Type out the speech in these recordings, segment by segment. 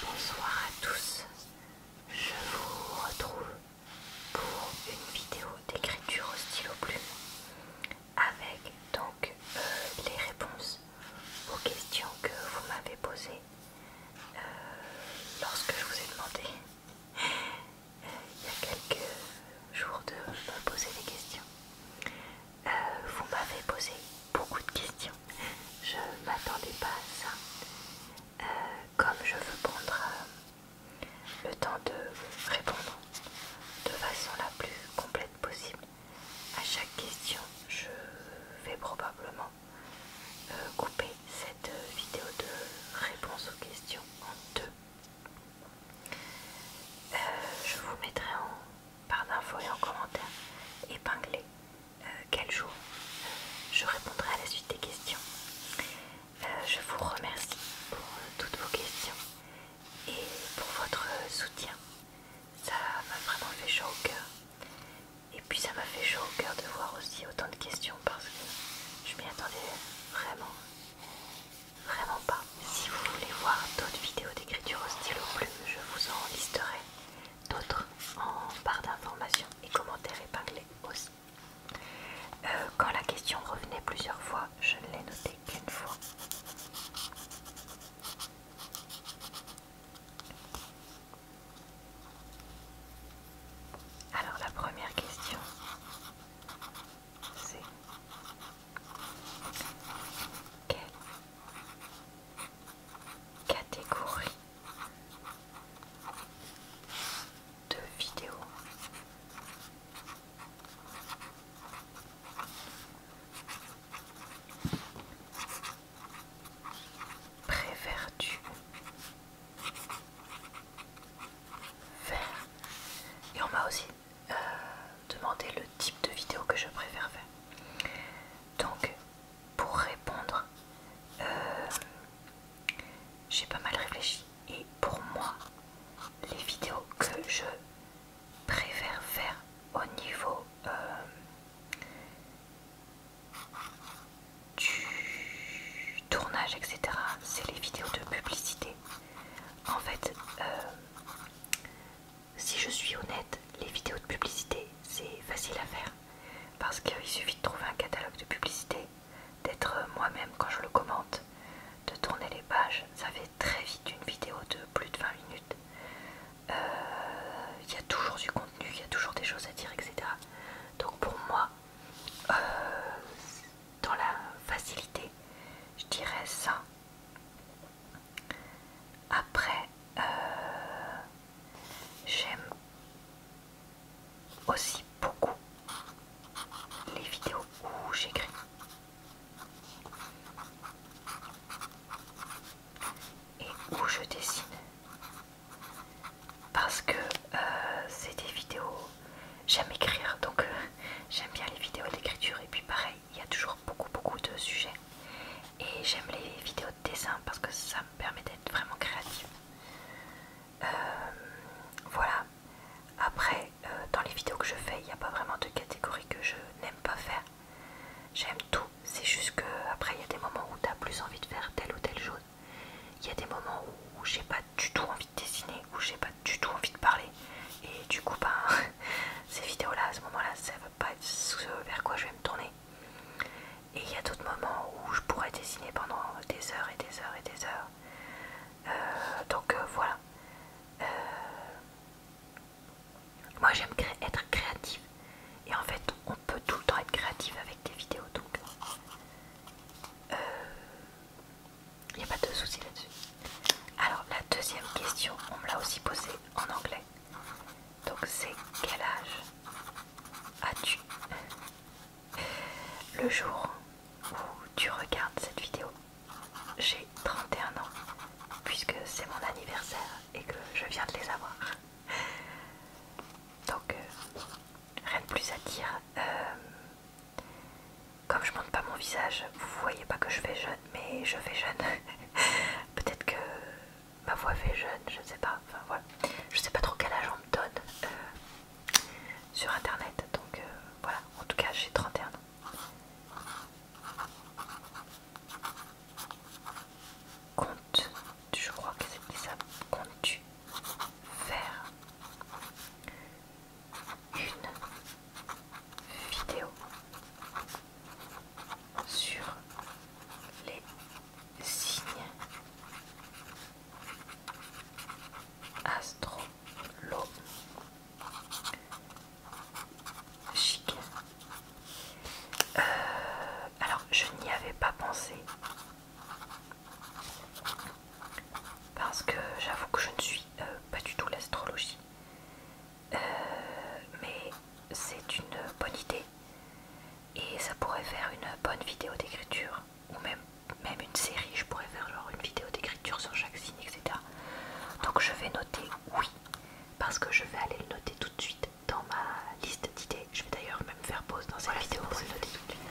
Bonsoir à tous, je vous retrouve pour une vidéo d'écriture au stylo plume avec donc euh, les réponses aux questions que vous m'avez posées euh, lorsque je vous ai demandé euh, il y a quelques jours de me poser des questions. vous m'avez posé beaucoup de questions je ne m'attendais pas à ça. Euh, comme je veux prendre euh, le temps de répondre de façon la plus complète possible à chaque question, je vais probablement euh, couper cette vidéo de réponse aux questions en deux. je vous mettrai en barre d'infos et en commentaire épinglé euh, quel jour je répondrai à la suite des questions. Euh, je vous remercie pour euh, toutes vos questions et pour votre soutien. Ça m'a vraiment fait chaud au cœur. Et puis ça m'a fait chaud au cœur de voir aussi autant de questions parce que je m'y attendais vraiment, vraiment pas. Si vous voulez voir d'autres vidéos d'écriture au stylo plume, je vous en listerai d'autres en barre d'informations et commentaires épinglés aussi. Euh, quand la question revenait plusieurs fois, je ne l'ai notée qu'une fois. Alors la première question, c'est quelle catégorie de vidéos. Préfères-tu faire Et on m'a aussi euh, demandé le type de vidéo que je préfère faire. Donc pour répondre, euh, j'ai pas mal réfléchi et pour moi, les vidéos que je préfère faire au niveau euh, du tournage, etc., c'est les vidéos de publicité. En fait, euh, si je suis honnête, les vidéos de publicité, c'est facile à faire. Parce qu'il suffit de trouver un catalogue de publicité, d'être moi-même quand je le commente, de tourner les pages. Ça fait très vite une vidéo de plus de 20 minutes. Euh, il y a toujours du contenu, il y a toujours des choses à dire, etc. Donc pour moi, euh, dans la facilité, je dirais ça. Après, euh, J'aime aussi beaucoup les vidéos où j'écris. Et où je dessine parce que euh, c'est des vidéos j'aime écrire donc euh, j'aime bien les vidéos d'écriture et puis pareil il y a toujours beaucoup beaucoup de sujets et j'aime les vidéos dessin parce que ça me permet d'être vraiment créative. Euh, voilà. Après, euh, dans les vidéos que je fais, il n'y a pas vraiment de catégorie que je n'aime pas faire. J'aime tout. C'est juste que après, il y a des moments où tu as plus envie de faire telle ou telle chose. Il y a des moments où, j'ai pas du tout envie de dessiner, où j'ai pas du tout envie de parler. Et du coup, ben, ces vidéos-là, à ce moment-là, ça pas ce vers quoi je vais me tourner. Et il y a d'autres moments où je pourrais dessiner pendant des heures et des heures et des heures. Euh, donc euh, voilà. Euh, moi j'aime être créative. Et en fait on peut tout le temps être créative avec des vidéos. Donc il n'y a pas de souci là-dessus. Alors la deuxième question, on me l'a aussi posée en anglais. Donc c'est quel âge as-tu Le jour où tu regardes cette vidéo, j'ai 31 ans, puisque c'est mon anniversaire et que je viens de les avoir. Donc euh, rien de plus à dire. Euh, comme je montre pas mon visage, vous voyez pas que je fais jeune, mais je fais jeune. Peut-être que ma voix fait jeune, je ne sais pas, enfin voilà, je sais pas trop quel âge on me donne euh, sur internet, donc euh, voilà, en tout cas j'ai 31 ans. Compte, je crois que c'était ça, compte-tu faire une vidéo sur les signes astrologiques. Euh, alors, je n'y avais pas pensé parce que j'avoue que je ne suis euh, pas du tout l'astrologie. Euh, mais c'est une bonne idée et ça pourrait faire une bonne vidéo d'écriture ou même, même une série, je pourrais faire genre une vidéo d'écriture sur chaque signe, etc. Donc je vais noter oui parce que je vais aller le noter tout de suite dans ma liste d'idées. Je vais d'ailleurs même faire pause dans cette vidéo pour le noter tout de suite.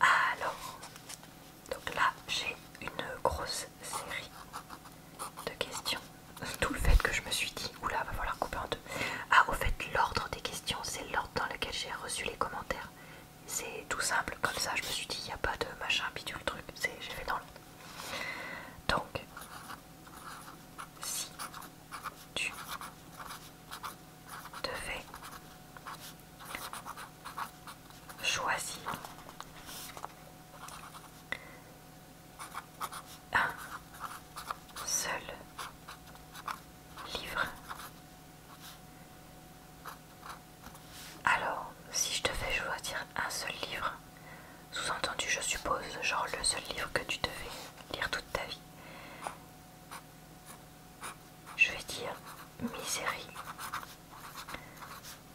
Alors, donc là j'ai une grosse série de questions. Tout le fait que je me suis dit, oula, va falloir couper en deux. Ah, au fait, l'ordre des questions, c'est l'ordre dans lequel j'ai reçu les commentaires. C'est tout simple, comme ça, je me suis dit, il n'y a pas de machin bidule truc, j'ai fait dans l'ordre. Donc, si tu devais choisir un seul livre. Alors, si je te fais choisir un seul livre, sous-entendu je suppose, genre le seul livre que tu devais lire toute ta vie, je vais dire Misérie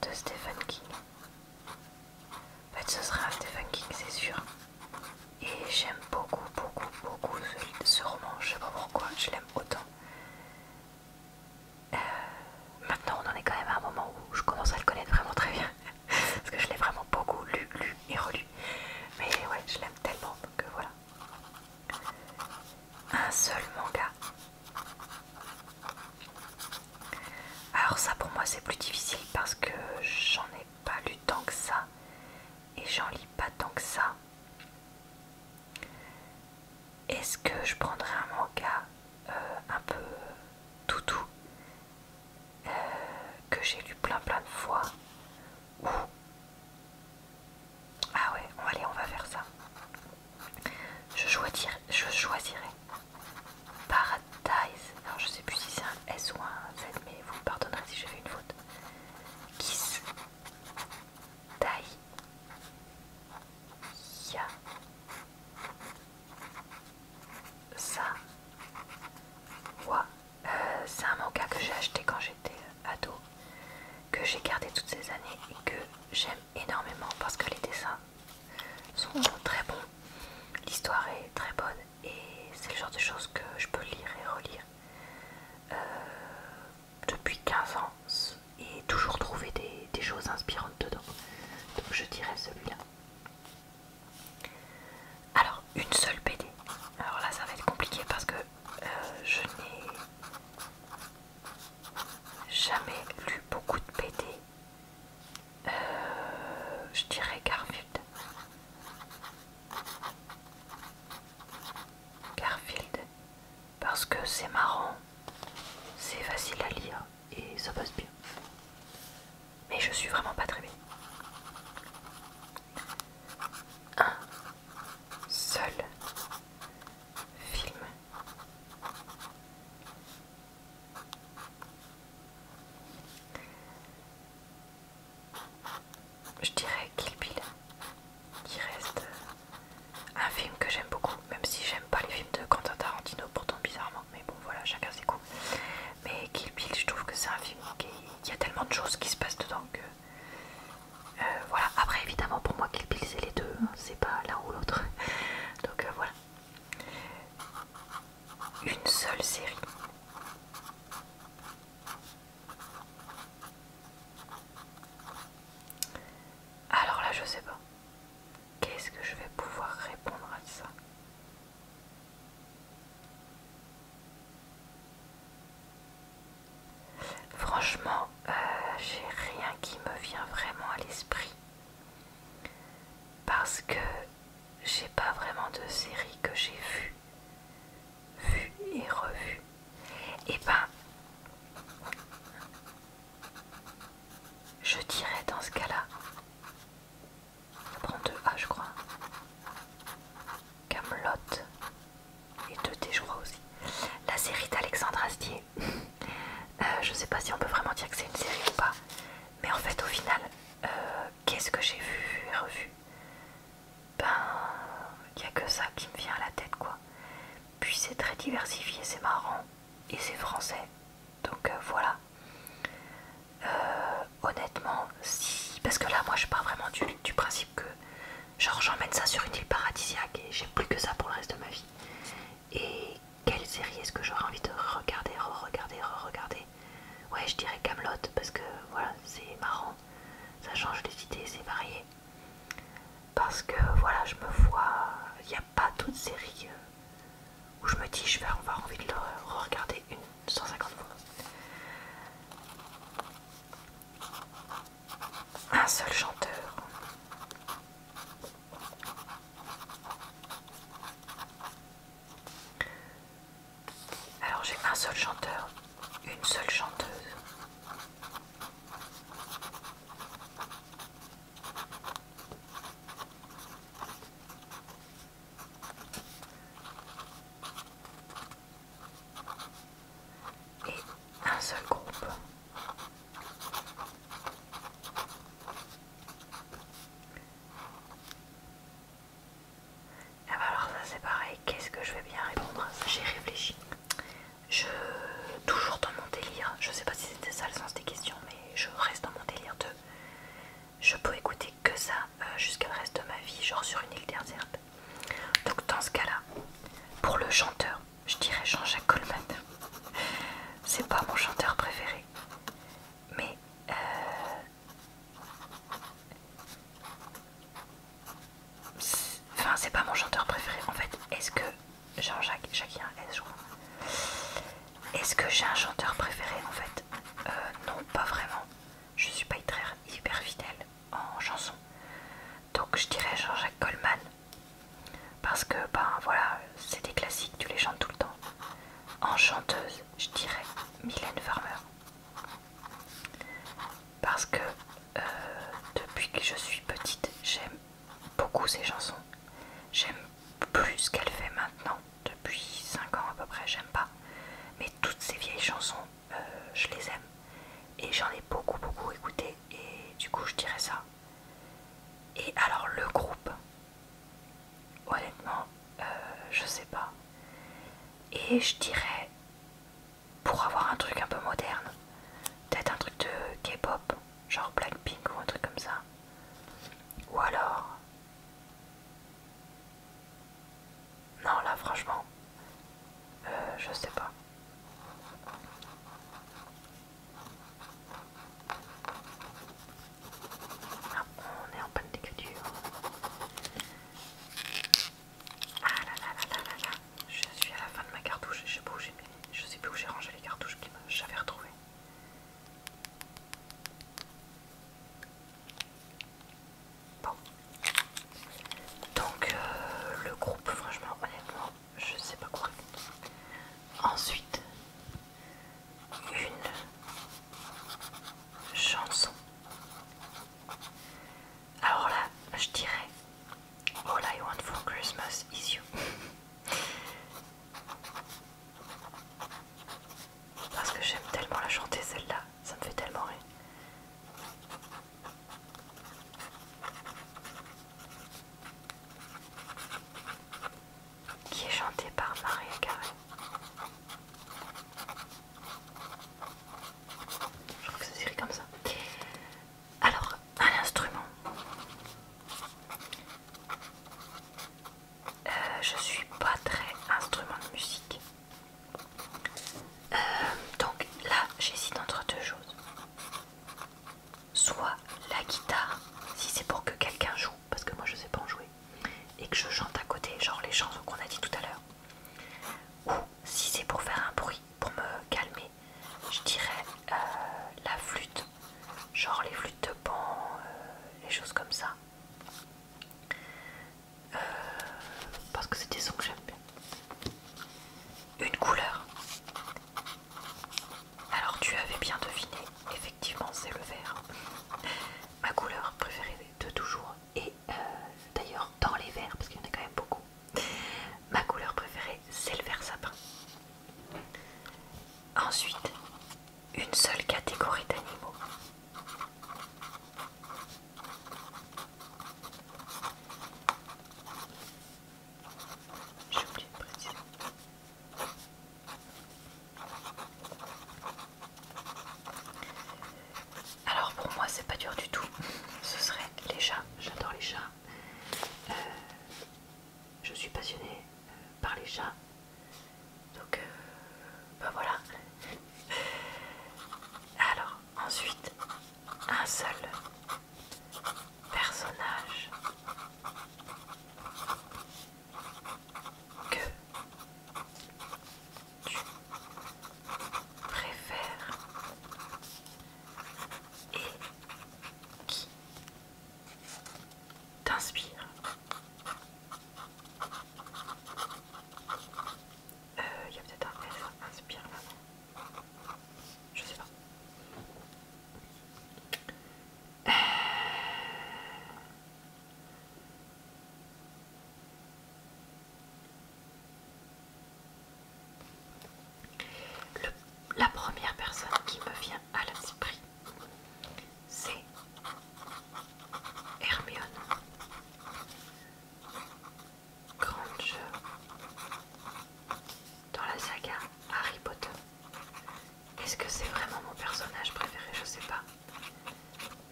de Stephen King. En fait, ce sera Stephen c'est sûr. Et j'aime beaucoup, beaucoup, beaucoup ce, roman. Je sais pas pourquoi, je l'aime autant. Euh, maintenant, on en est quand même à un moment où je commence à le connaître vraiment très bien. Parce que je l'ai vraiment beaucoup lu, lu et relu. Mais ouais, je l'aime tellement que voilà. Un seul manga. Alors ça pour moi c'est plus difficile parce que j'en ai pas lu tant que ça et j'en lis pas tant que ça. Est-ce que je prendrais un manga euh, un peu toutou euh, que j'ai lu plein plein de fois ou ah ouais, allez, on va faire ça. Je choisirai, je choisirai Paradise. Alors je sais plus si c'est un S ou un Z, mais vous me pardonnerez si j'ai fait une faute. Kiss. Tai. Ça. Wa. Euh, c'est un manga que j'ai acheté quand j'étais euh, ado, que j'ai gardé toutes ces années et que j'aime énormément parce que les dessins sont très bons, l'histoire est très bonne et c'est le genre de choses que je peux lire et relire euh, depuis 15 ans et toujours trouver des, choses inspirantes dedans. Donc je dirais celui-là. Alors, une seule BD. Alors là, ça va être compliqué parce que euh, je n'ai jamais lu beaucoup de BD euh, je dirais Garfield. Garfield. Parce que c'est marrant, c'est facile à lire et ça passe bien. Mais je suis vraiment pas très bien. Un seul film je dirais Kill Bill, qui reste un film que j'aime beaucoup, même si j'aime pas les films de Quentin Tarantino, pourtant bizarrement, mais bon voilà, chacun ses coups. Mais Kill Bill, je trouve que c'est un film qui il y a tellement de choses qui se passent dedans que euh, voilà. Après, évidemment, pour moi, Kill Bill, c'est les deux, hein, c'est pas l'un ou l'autre, donc euh, voilà une seule série. Alors là, je sais pas. Qu'est-ce que je vais pouvoir répondre à ça Franchement, euh, j'ai rien qui me vient vraiment à l'esprit. Parce que j'ai pas vraiment de série que j'ai vue, vue et revue. Et eh ben, je dirais dans ce cas-là, je prends 2 A, je crois. Camelot et deux D je aussi. La série d'Alexandre Astier. je euh, je sais pas si on peut vraiment dire que c'est une série ou pas. Mais en fait, au final, euh, qu'est-ce que j'ai vu et revu Ben, il n'y a que ça qui me vient à la tête, quoi. Puis c'est très diversifié, c'est marrant, et c'est français. Donc euh, voilà. Euh, honnêtement, si. Parce que là, moi, je pars vraiment du, principe que, genre, j'emmène ça sur une île paradisiaque et j'ai plus que ça pour le reste de ma vie. Et quelle série est-ce que j'aurais envie de regarder, re-regarder, re-regarder Ouais, je dirais Camelot parce que voilà, c'est marrant, ça change les idées, c'est varié. Parce que voilà, je me vois, il n'y a pas toute série euh, où je me dis je vais avoir envie de le re-regarder une 150 fois. Un seul chanteur. Alors j'ai un seul chanteur, une seule chanteuse. Et un seul groupe. Ah bah alors ça c'est pareil, qu'est-ce que je vais bien répondre J'ai réfléchi. Je toujours dans mon délire, je sais pas si c'était ça le sens des questions, mais je reste dans mon délire de je peux écouter que ça euh, jusqu'à le reste de ma vie, genre sur une île déserte. Donc dans ce cas-là, pour le chanteur, je dirais Jean-Jacques Coleman. C'est pas mon chanteur préféré mais euh, enfin c'est pas mon chanteur préféré en fait est-ce que Jean-Jacques Jacqueline, est ce que j'ai un chanteur préféré en fait euh, non pas vraiment je suis pas hyper, hyper fidèle en chanson donc je dirais Jean-Jacques Coleman, parce que ben voilà c'est des classiques tu les chantes tout le temps chanteuse, je dirais, Mylène Farmer. Parce que euh, depuis que je suis petite, j'aime beaucoup ces chansons. J'aime plus ce qu'elle fait maintenant, depuis 5 ans à peu près, j'aime pas. Mais toutes ces vieilles chansons, euh, je les aime. Et j'en ai beaucoup beaucoup écouté. Et du coup, je dirais ça. Et alors le groupe, Honnêtement, euh, je sais pas. Et je dirais, pour avoir un truc un peu moderne, peut-être un truc de K-pop, genre Blackpink ou un truc comme ça. Ou alors. Non, là, franchement, euh, je sais pas. Ah, on est en panne d'écriture. Ah là je suis à la fin de ma cartouche, je sais, pas où je sais plus où j'ai rangé les cartouches que j'avais retrouvées. Bon, donc euh, le groupe, franchement, honnêtement, je sais pas quoi Ensuite, une chanson. Alors là, je dirais All I want for Christmas is you. Parce que j'aime tellement la chanter celle-là, ça me fait tellement rire qui est chantée par Maria Carré. Je crois que ça s'écrit comme ça. Alors, un instrument. je euh, je suis pas très instrument de musique. Euh, donc là, j'hésite entre deux choses. Soit la guitare, si c'est pour que quelqu'un joue parce que moi je sais pas en jouer, et que je chante à côté, genre les chansons qu'on a dit tout à l'heure, ou si c'est pour faire un bruit, pour me calmer, je dirais euh, la flûte, genre les flûtes de pan, euh, les choses comme ça. Euh, parce que c'est des sons que j'aime bien. Une couleur. Alors tu avais bien deviné, effectivement c'est le vert. Ma couleur préférée de toujours, et euh, d'ailleurs dans les verts, parce qu'il y en a quand même beaucoup, ma couleur préférée c'est le vert sapin. Ensuite, une seule catégorie d'animaux. J'ai oublié de préciser. Alors pour moi c'est pas dur du tout, ce serait les chats, j'adore les chats. Euh, je suis passionnée euh, par les chats. Donc ben voilà. Alors ensuite, un seul personnage que tu préfères et qui t'inspire. Il euh, y a peut-être un S, inspire là. Je sais pas la première personne qui me vient à l'esprit, c'est Hermione Granger dans la saga Harry Potter. Est-ce que c'est vraiment mon personnage préféré Je sais pas.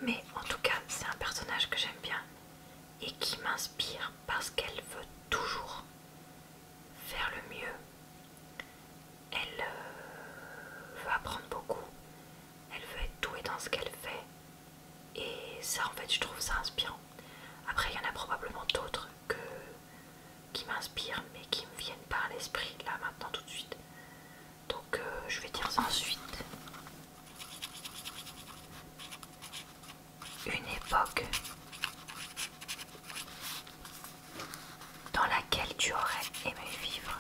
Mais en tout cas, c'est un personnage que j'aime bien et qui m'inspire parce qu'elle veut toujours faire le mieux. Elle euh, veut apprendre beaucoup. Elle veut être douée dans ce qu'elle fait. Et ça, en fait, je trouve ça inspirant. Après, il y en a probablement d'autres que qui m'inspirent mais qui me viennent par l'esprit là maintenant tout de suite. Donc euh, je vais dire ensuite. Une époque dans laquelle tu aurais aimé vivre.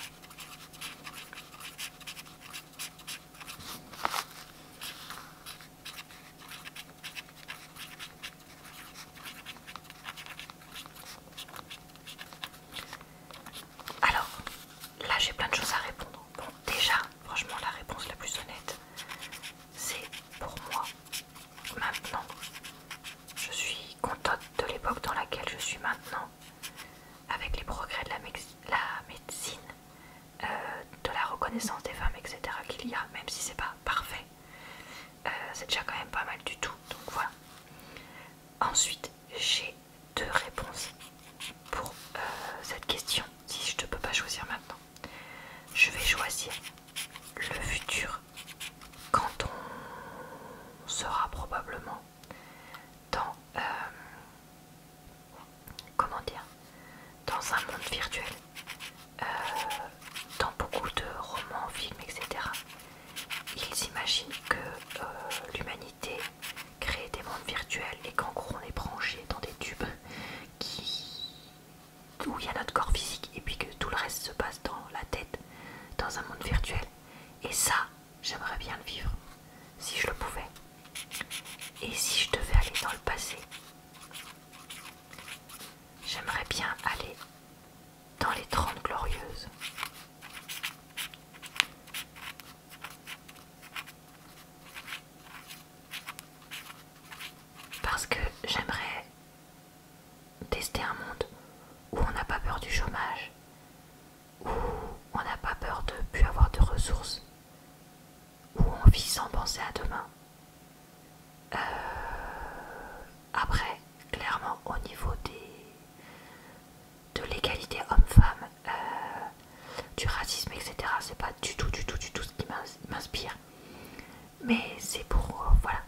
Alors, là j'ai plein de choses à répondre. Bon, déjà, franchement, la réponse la plus honnête, c'est pour moi. Maintenant, je suis contente de l'époque dans laquelle je suis maintenant, avec les progrès de la, médecine, euh, de la reconnaissance des femmes, etc. qu'il y a, même si c'est pas parfait. Euh, c'est déjà quand même pas mal du tout, donc voilà. Ensuite, j'ai deux réponses pour euh, cette question. Si je ne peux pas choisir maintenant, je vais choisir le futur quand on sera probablement dans euh, un monde virtuel dans beaucoup de romans, films, etc., ils imaginent que euh, l'humanité crée des mondes virtuels et qu'en gros on est branché dans des tubes où il y a notre corps physique et puis que tout le reste se passe dans la tête, dans un monde virtuel. Et ça, j'aimerais bien le vivre, si je le pouvais. Et si je devais aller dans le passé, j'aimerais bien aller dans les Trente Glorieuses. Parce que j'aimerais tester un monde où on n'a pas peur du chômage, où on n'a pas peur de plus avoir de ressources, où on vit sans penser à demain. Euh, après, clairement, au niveau des... de l'égalité homme-femme, euh, du racisme, etc., c'est pas du tout, du tout, du tout ce qui m'inspire. Mais c'est pour, euh, voilà,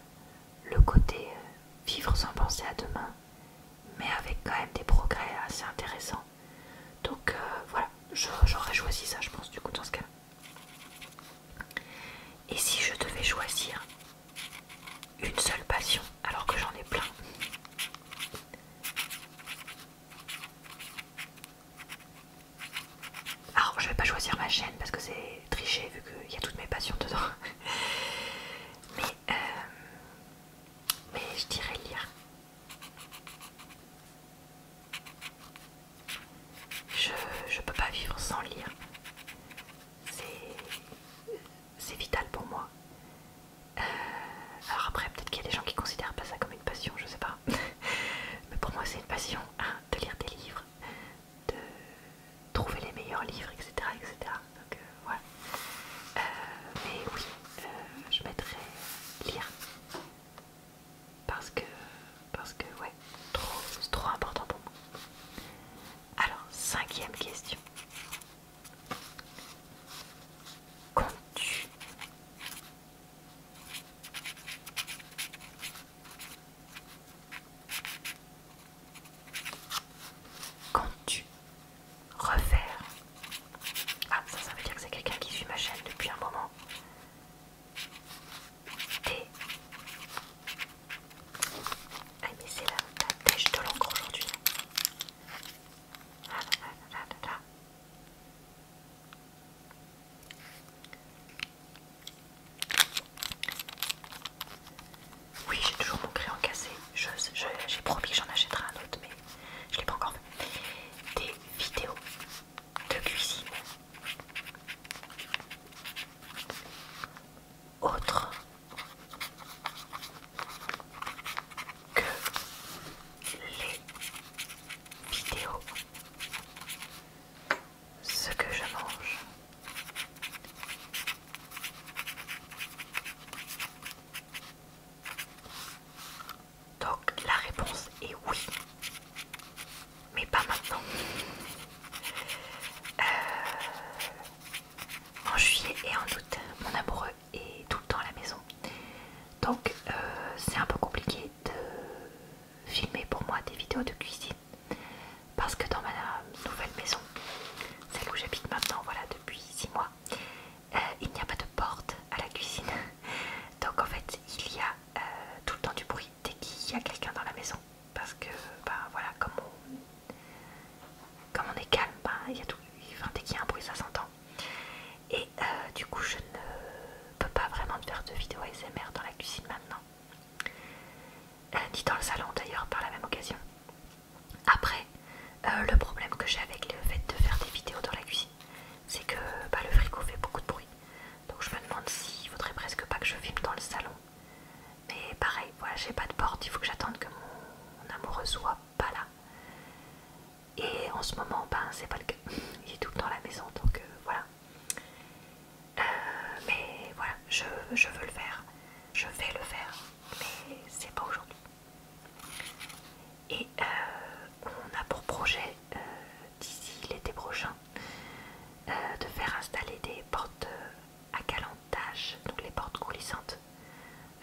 le côté euh, vivre sans penser à demain, mais avec quand même des progrès assez intéressants. Donc voilà, j'aurais choisi ça, je pense, du coup, dans ce cas Et si je devais choisir une seule passion alors que j'en ai plein. Alors je vais pas choisir ma chaîne parce que c'est tricher vu qu'il y a toutes mes passions dedans. Euh, mais, je dirais lire. Je, je peux pas vivre sans lire c'est vital pour moi. Euh, alors après, peut-être qu'il y a des gens qui considèrent pas ça comme une passion, je sais pas. Mais pour moi, c'est une passion hein, de lire des livres, de trouver les meilleurs livres, etc. Donc euh, voilà. Euh, mais oui, je mettrais lire. Parce que, parce que ouais, trop, c'est trop important pour moi. Alors, cinquième question. Comptes-tu tu refaire Ah, ça, ça veut dire que c'est quelqu'un qui suit ma chaîne depuis un moment thé. Ah mais c'est la, la de l'encre aujourd'hui. Ah, ah, ah, oui, j'ai toujours mon crayon cassé. J'ai promis que j'en achèterais un autre, mais je ne l'ai pas encore fait. Des vidéos de cuisine autre que les vidéos. Ce que je mange. Donc la réponse est oui mais pas maintenant. Euh, en juillet et en août, mon amoureux est tout le temps à la maison. Donc euh, c'est un peu compliqué de filmer pour moi des vidéos de cuisine. Parce que dans ma nouvelle maison, celle où j'habite maintenant, voilà, depuis 6 mois, euh, il n'y a pas de porte à la cuisine. Donc en fait, il y a tout le temps du bruit dès qu'il y a quelqu'un dans la maison. Parce que, bah voilà, comme on, est calme, bah, y a tout, enfin, dès qu'il y a un bruit, ça s'entend. Et euh, du coup, je ne peux pas vraiment faire de vidéo ASMR dans la cuisine maintenant. Euh, ni dans le salon d'ailleurs, par la même occasion. Après, euh, le problème que j'ai avec le fait de faire des vidéos dans la cuisine, c'est que bah, le frigo fait beaucoup de bruit. Donc je me demande s'il ne faudrait presque pas que je filme dans le salon mais pareil, voilà, j'ai pas de porte, il faut que j'attende que mon, amoureux soit pas là. Et en ce moment, ben c'est pas le cas. Il est tout le temps la maison, donc euh, voilà. Euh, mais voilà, je, veux le faire. Je vais le faire, mais c'est pas aujourd'hui. Et euh, on a pour projet d'ici l'été prochain euh, de faire installer des portes à euh, calentage, donc les portes coulissantes,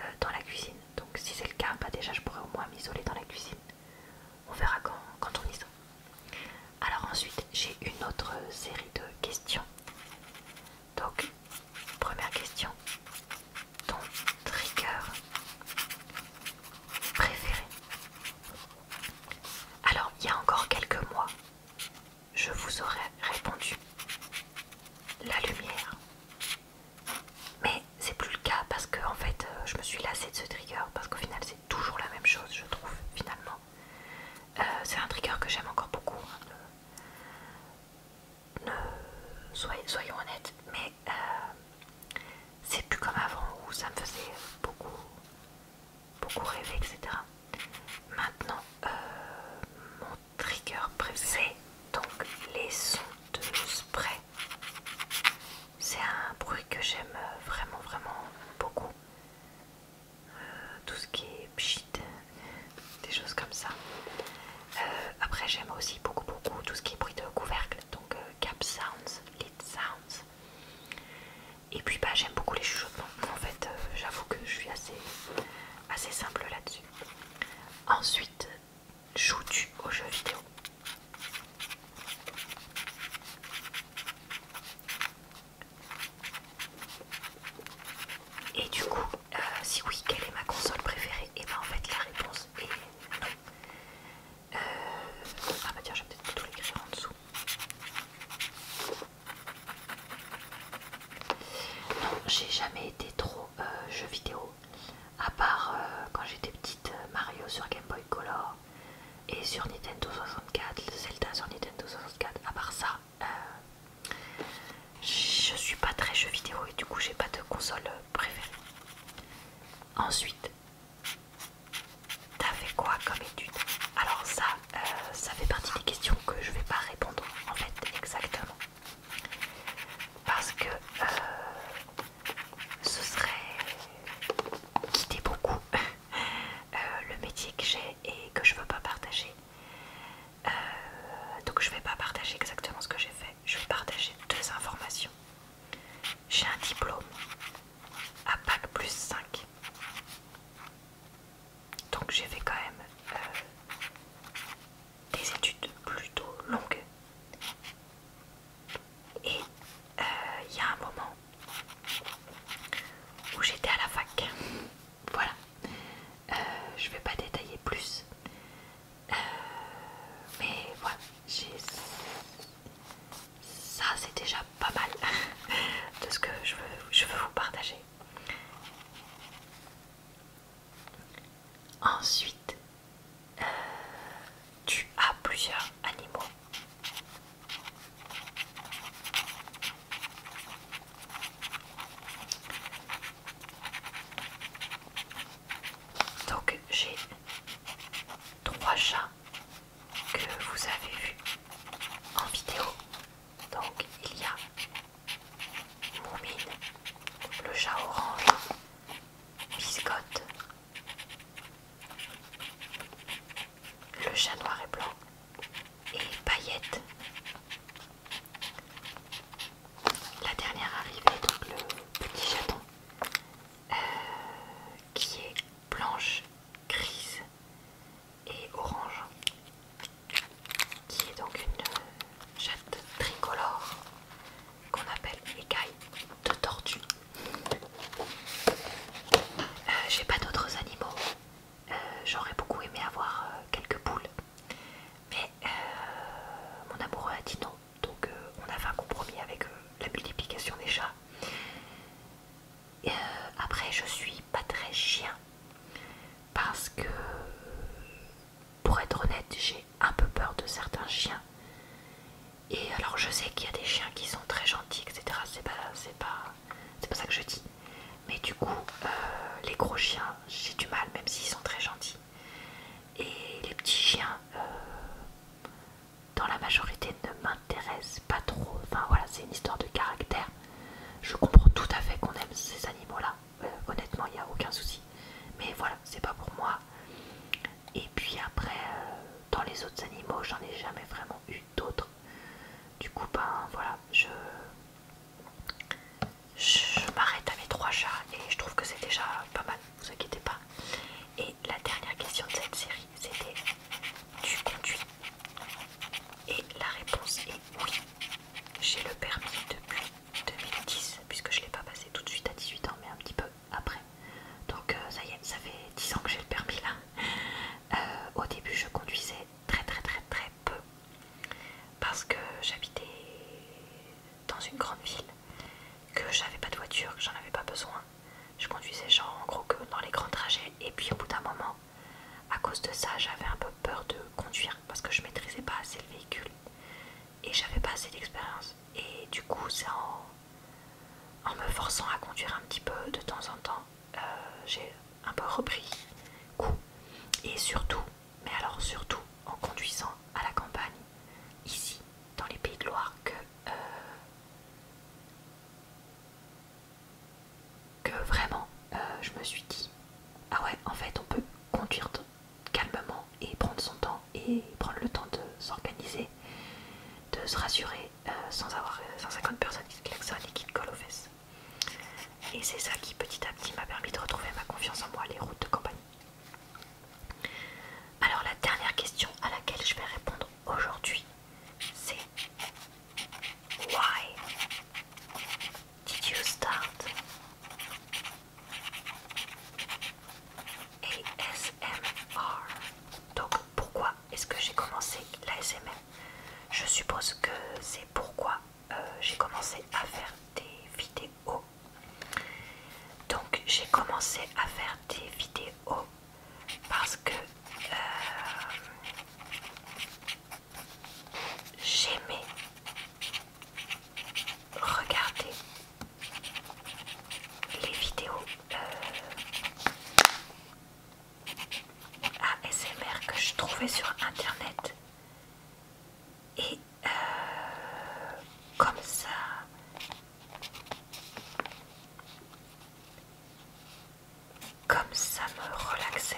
euh, dans la cuisine. Donc si c'est le cas, bah, déjà je pourrais au moins m'isoler dans la cuisine. On verra quand, quand on y sera. Alors ensuite, j'ai une autre série de questions. Donc, première question. Ton trigger préféré Alors, il y a encore quelques mois, je vous aurais répondu la lumière. Mais c'est plus le cas parce que en fait euh, je me suis lassée de ce trigger parce qu'au final c'est toujours la même chose je trouve finalement. Euh, c'est un trigger que j'aime encore beaucoup. Hein, soyons honnêtes, mais euh, c'est plus comme avant où ça me faisait beaucoup beaucoup rêver etc. Maintenant, euh, mon trigger préféré, donc les sons de spray. C'est un bruit que j'aime vraiment, vraiment beaucoup. Euh, tout ce qui est pchit, des choses comme ça. Euh, après, j'aime aussi beaucoup, beaucoup tout ce qui est bruit de couvercle, donc cap sounds, lid sounds. Et puis bah, j'aime beaucoup les chuchotements. En fait, euh, j'avoue que je suis assez, assez simple là-dessus. Ensuite, joue tu aux jeux vidéo Et du coup, euh, si oui, quelle est ma console préférée Et bah en fait, la réponse est euh, Ah bah tiens, je vais peut-être plutôt l'écrire en dessous. Non, j'ai jamais été trop euh, jeux vidéo, à part euh, quand j'étais petite euh, Mario sur Game Boy Color et sur Nintendo 64, Zelda sur Nintendo 64, à part ça, je suis pas très jeux vidéo et du coup j'ai pas de console préférée. Ensuite, T'as fait quoi comme étude Alors ça, euh, ça fait partie des questions que je vais pas répondre en fait exactement. Parce que euh, ce serait quitter beaucoup euh, le métier que j'ai et que je veux pas partager. donc je vais pas partager exactement ce que j'ai fait. Je vais partager deux informations. J'ai un diplôme à Pack plus 5 donc j'ai fait quand même euh, des études plutôt longues. Et euh, il y a un moment où j'étais à la fac. Voilà. Euh, je ne vais pas détailler plus. mais voilà, j'ai ça c'est déjà pas mal de ce que je veux, je veux vous partager. Ensuite, euh, tu as plusieurs animaux. Donc j'ai trois chats que vous avez vu en vidéo. Donc il y a Moumine, le chat orange, Biscotte, le chat noir et blanc et Paillette. La dernière arrivée, donc le petit chaton, euh, qui est blanche, grise et orange, qui est donc une euh, chatte tricolore qu'on appelle écaille de tortue. Euh, j'ai pas d'autres animaux. Euh, j'aurais beaucoup aimé avoir quelques poules, mais mon amoureux a dit non, donc on a fait un compromis avec la multiplication des chats après, je suis pas très chien parce que, pour être honnête, j'ai un peu peur de certains chiens. Et alors, je sais qu'il y a des chiens qui sont très gentils, etc. C'est pas, c'est pas, c'est pas ça que je dis. Mais du coup, euh, les gros chiens, j'ai du mal, même s'ils sont très gentils. Et les petits chiens, euh, dans la majorité ne m'intéresse pas trop. Enfin voilà, c'est une histoire de caractère. Je comprends tout à fait qu'on aime ces animaux-là. Euh, honnêtement, il n'y a aucun souci. Mais voilà, c'est pas pour moi. Et puis après, euh, dans les autres animaux, j'en ai jamais vraiment eu d'autres. Du coup, ben voilà, je, je m'arrête à mes trois chats et je trouve que c'est déjà pas mal, vous inquiétez pas. Et la dernière question de cette série, c'était tu conduis et la réponse est oui. J'ai le permis depuis 2010, puisque je ne l'ai pas passé tout de suite à 18 ans, mais un petit peu après. Donc euh, ça y est, ça fait 10 ans que j'ai le permis là. Euh, au début, je conduisais très très très très peu, parce que j'habitais dans une grande ville, que j'avais pas de voiture, que j'en avais pas besoin, je conduisais genre en gros que dans les grands trajets et puis au bout d'un moment, à cause de ça, j'avais un peu peur de conduire parce que je maîtrisais pas assez le véhicule et j'avais pas assez d'expérience. Et du coup, c'est en, me forçant à conduire un petit peu de temps en temps, euh, j'ai un peu repris coup Et surtout, mais alors surtout en conduisant à la campagne, ici, dans les Pays de Loire, que euh, que vraiment euh, je me suis dit ah ouais en fait on peut conduire calmement et prendre son temps et prendre le temps de s'organiser, de se rassurer euh, sans avoir 150 euh, personnes qui klaxonnent et qui te collent aux fesses. Et c'est ça qui petit à petit m'a permis de retrouver ma confiance en moi, les routes de campagne. Alors la dernière question à laquelle je vais répondre aujourd'hui, c'est Why did you start ASMR Donc pourquoi est-ce que j'ai commencé l'ASMR Je suppose que c'est pourquoi euh, j'ai commencé à faire des vidéos. Donc j'ai commencé à faire des vidéos parce que euh, j'aimais regarder les vidéos euh, ASMR que je trouvais sur internet et euh, comme ça comme ça me relaxait.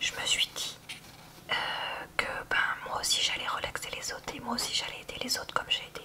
Je me suis dit euh, que ben, moi aussi j'allais relaxer les autres et moi aussi j'allais aider les autres comme j'ai aidé.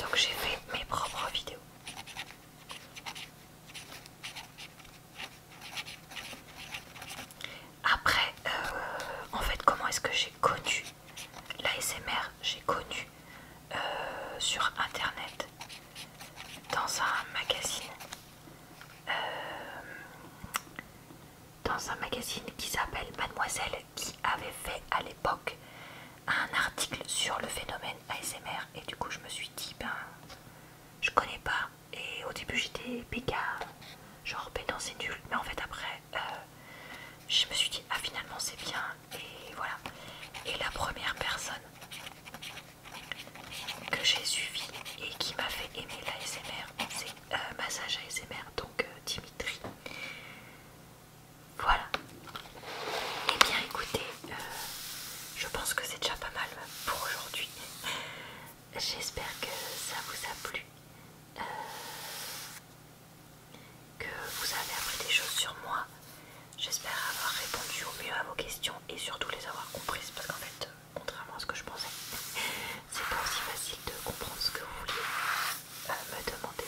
Donc j'ai fait mes propres vidéos. Après, euh, en fait, comment est-ce que j'ai connu l'ASMR J'ai connu euh, sur internet, dans un magazine, euh, dans un magazine qui s'appelle Mademoiselle qui avait fait à l'époque un article sur le phénomène ASMR et du coup je me suis dit ben je connais pas et au début j'étais péga genre ben c'est nul mais en fait après euh, je me suis dit ah finalement c'est bien et voilà et la première personne que j'ai suivie et qui m'a fait aimer l'ASMR c'est euh, Massage ASMR donc euh, Dimitri voilà. Eh bien écoutez, euh, je pense que c'est déjà pas mal pour aujourd'hui. J'espère que ça vous a plu. Euh, que vous avez appris des choses sur moi. J'espère avoir répondu au mieux à vos questions et surtout les avoir comprises parce qu'en fait, euh, contrairement à ce que je pensais, c'est pas aussi facile de comprendre ce que vous vouliez me demander.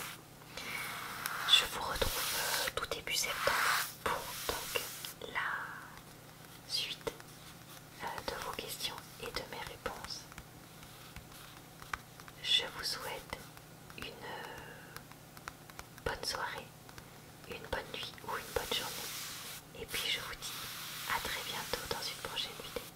Je vous retrouve euh, tout début septembre pour donc la suite euh, de vos questions et de mes réponses. Je vous souhaite une euh, bonne soirée, une bonne nuit ou une bonne journée. Et puis je vous dis à très bientôt dans une prochaine vidéo.